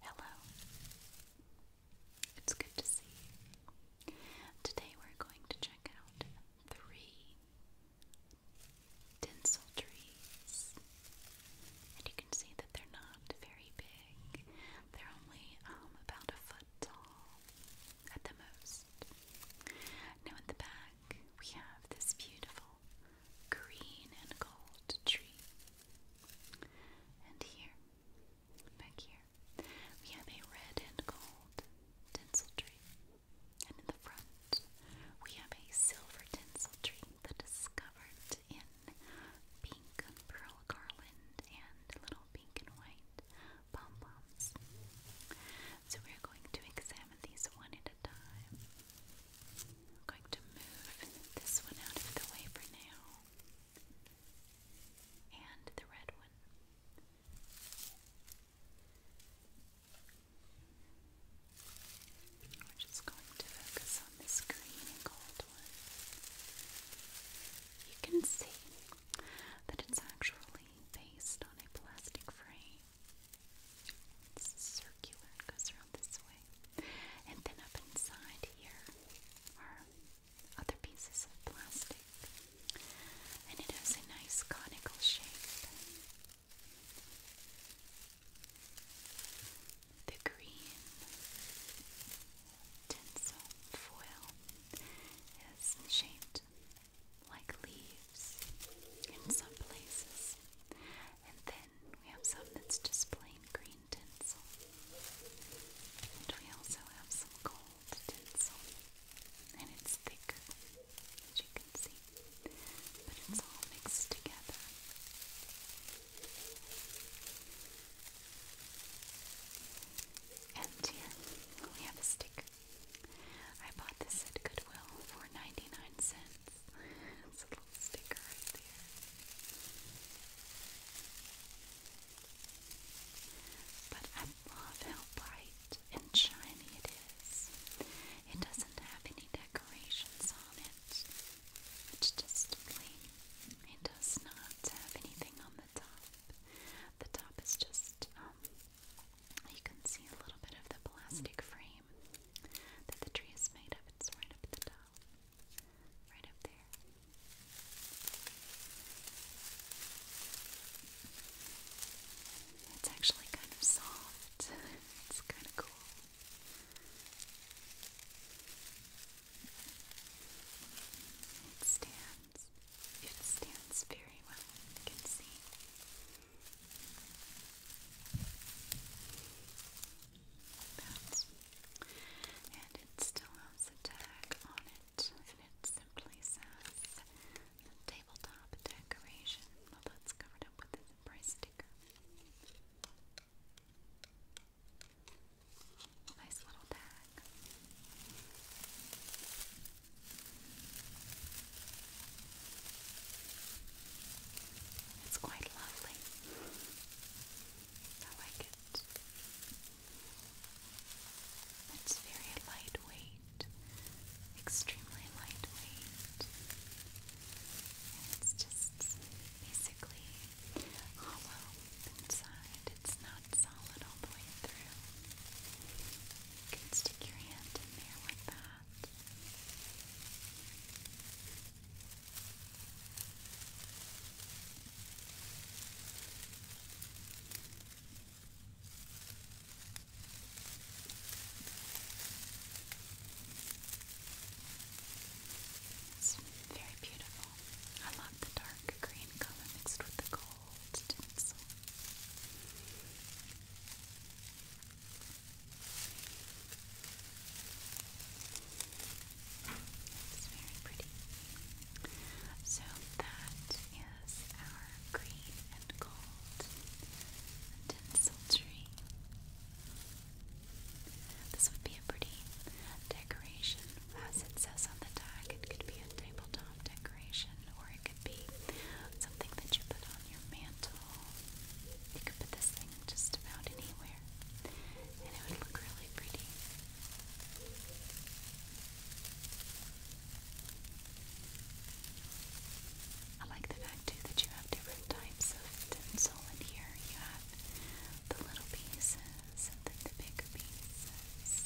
Hello. It's good to see Today we're going to check out three tinsel trees. And you can see that they're not very big. They're only um, about a foot tall at the most. Now in the back, we have this beautiful green and gold tree. And here, back here, we have a red and gold tinsel tree. And in the front, we have a silver tinsel tree that is covered in pink pearl garland and little pink and white pom poms. So we're going to examine these one at a time. I'm going to move this one out of the way for now. And the red one. We're just going to focus on this green and gold one. You can see that it's actually based on a plastic frame. It's circular, it goes around this way. And then up inside here are other pieces of plastic. And it has a nice conical shape. The green tinsel foil is shaped like leaves in some places. And then we have some that's just plain green tinsel. And we also have some gold tinsel. And it's thicker, as you can see. But it's all mixed together. And here we have a sticker. I bought this at Goodwill for 99 cents. it's a little sticker right there. But I love how bright and shiny it is. It doesn't have any decorations on it. It's just plain. It does not have anything on the top. The top is just um, you can see a little bit of the plastic frame that the tree is made of. It's right up the top, right up there. It's actually kind of soft. It's kind of cool. It stands. It stands very well. You can see. That's, and it still has a tag on it, and it simply says tabletop decoration. Well, that's covered up with this price sticker. Nice little tag. It's quite lovely. I like it. It's very lightweight, extremely lightweight. it's just basically hollow inside. It's not solid all the way through. You can stick your hand in there with that that. It's very beautiful. I love the dark green color mixed with the gold tinsel. It's very pretty. So that is our green and gold tinsel tree. This would be a pretty decoration. As it says on the tag, it could be a tabletop decoration or it could be something that you put on your mantle. You could put this thing just about anywhere, and it would look really pretty. I like the fact too that you have different types of tinsel in here. You have the little pieces then the bigger pieces.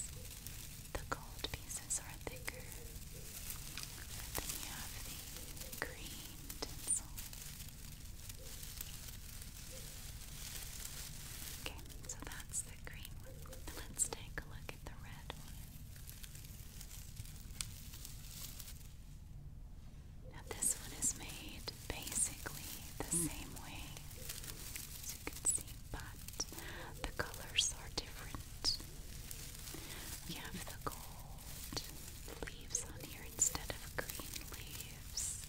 The gold pieces are thicker then you have the green tinsel. Okay, so that's the green one. Let's take a look at the red one. Now, this one is made basically the same way, as you can see, but the colors are different. We have the gold leaves on here instead of green leaves.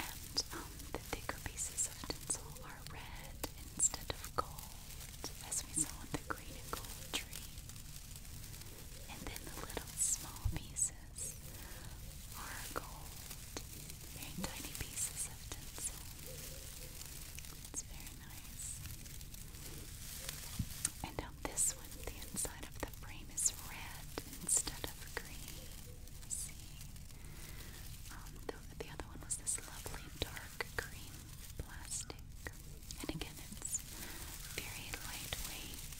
And um, the thicker pieces of tinsel are red instead of gold, as we saw on the green and gold tree. And then the little small pieces are gold, very tiny pieces of tinsel. It's very nice. And on this one, the inside of the frame is red instead of green. See? Um, the, the other one was this lovely dark green plastic. And again, it's very lightweight.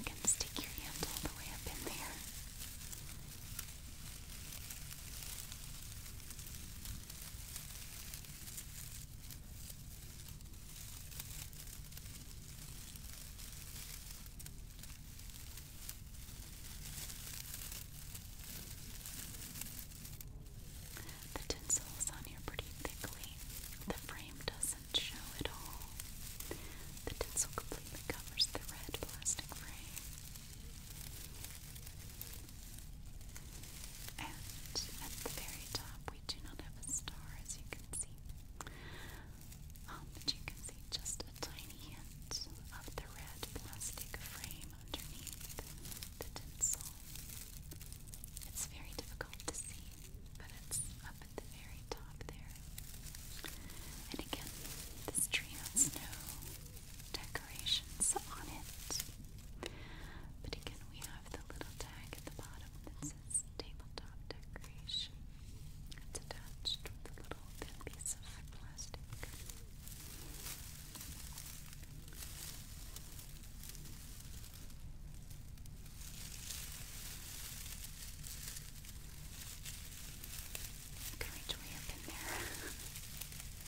you can stick your hand all the way up in there. The tinsel is on here pretty thickly. The frame doesn't show at all. The tinsel completely covers the red plastic frame. And at the very top, we do not have a star, as you can see. Um, but you can see just a tiny hint of the red plastic frame underneath the tinsel. It's very difficult to see, but it's up at the very top there. And again, this tree has snow decorations on it. But again, we have the little tag at the bottom that says tabletop decoration. It's attached with a little thin piece of plastic. Can reach way up in there.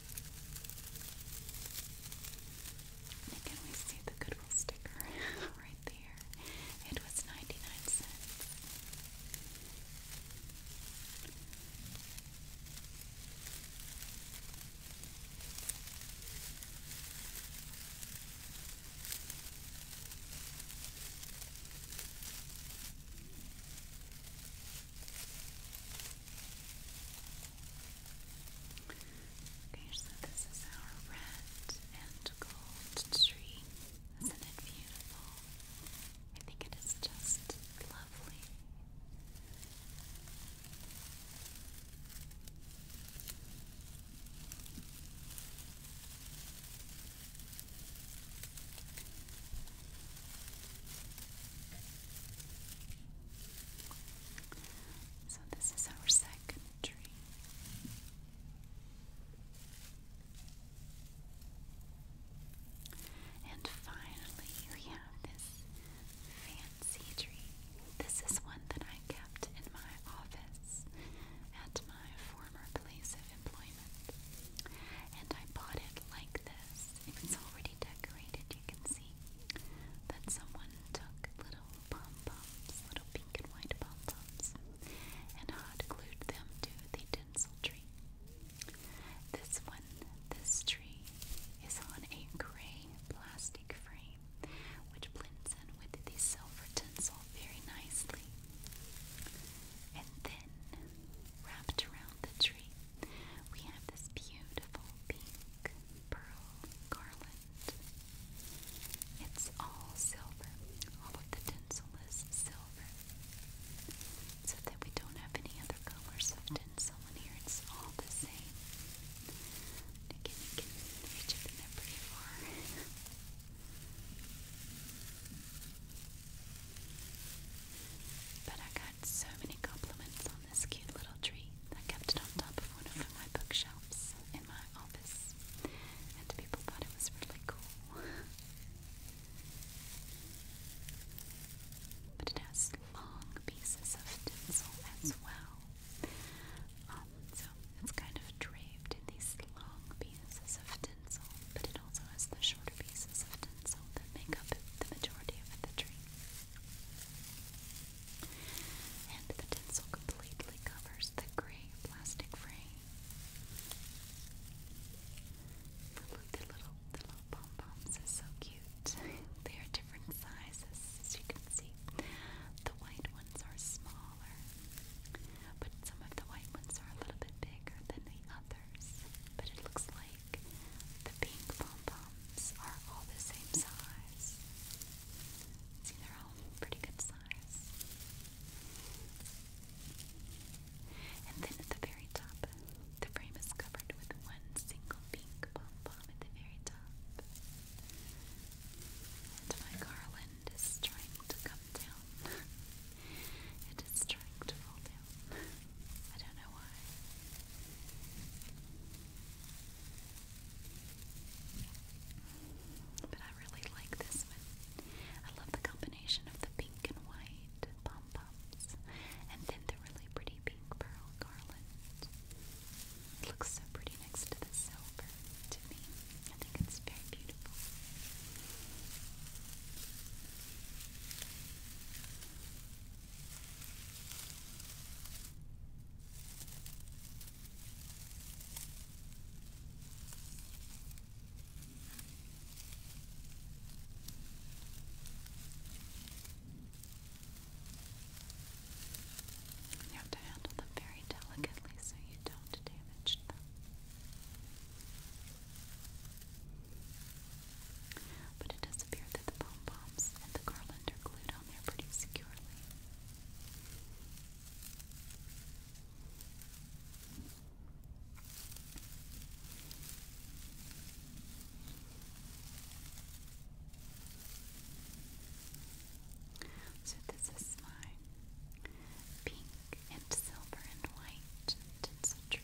And again, we see the Goodwill sticker right there. It was 99 cents. Okay, so this is our red and gold tree. Isn't it beautiful? I think it is just lovely. So, this is our second tree. And finally, we have this fancy tree. This is one that I kept in my office at my former place of employment. And I bought it like this house. It already decorated, you can see that someone took little pom-poms, little pink and white pom-poms, and hot glued them to the tinsel tree. This one, this tree, is on a gray plastic frame, which blends in with the silver tinsel very nicely. And then, wrapped around the tree we have this beautiful pink pearl garland. It's all silver. All of the tinsel is silver. So that we don't have any other colors of tinsel in here. It's all the same. Again, you can reach up there pretty far. But I got so many compliments on this cute little tree. I kept it on top of one of my bookshelves in my office, and people thought it was really cool. But it has long pieces of tinsel as well. Um, so it's kind of draped in these long pieces of tinsel, but it also has the shorter pieces of tinsel that make up the majority of the tree. And the tinsel completely covers the gray plastic frame. The, the little the little pom poms is so cute. they are different sizes, as you can see. The white ones are smaller, but some of the white ones are a little bit bigger than the others. But it looks like the pink pom poms are all the same size. See, they're all pretty good size. And then at the very top, the frame is covered with one single pink pom pom at the very top. And my garland is trying to come down. it is trying to fall down. I don't know why. But I really like this one. I love the combination of the pink and white pom poms and then the really pretty pink pearl garland. It looks so pretty next to the silver to I think it's very beautiful. You have to handle them very delicately so you don't damage them. But it does appear that the pom poms and the garland are glued on there pretty securely. So, this is my pink and silver and white tinsel tree.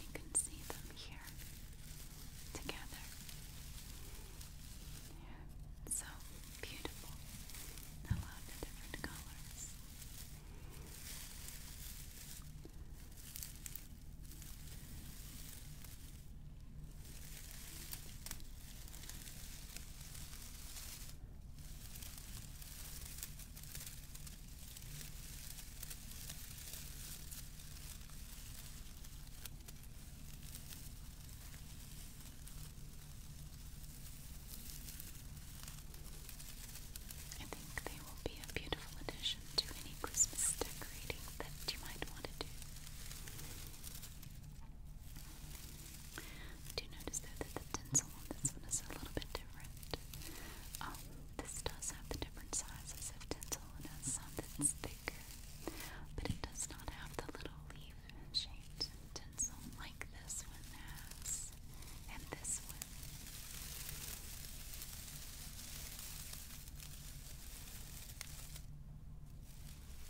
You can see them here together. so beautiful. I love the different colors. I think they will be a beautiful addition to any Christmas decorating that you might want to do. I you notice that the tinsel on this one is a little bit different. Um, this does have different sizes of tinsel. It has some that's thicker, but it does not have the little leaf-shaped tinsel like this one has, and this one.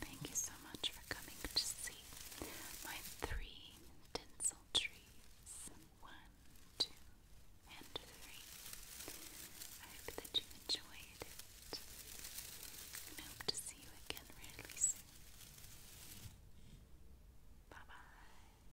Thank you so much for coming to see my three tinsel trees. One, two, and three. I hope that you enjoyed it. And I hope to see you again really soon. Bye bye.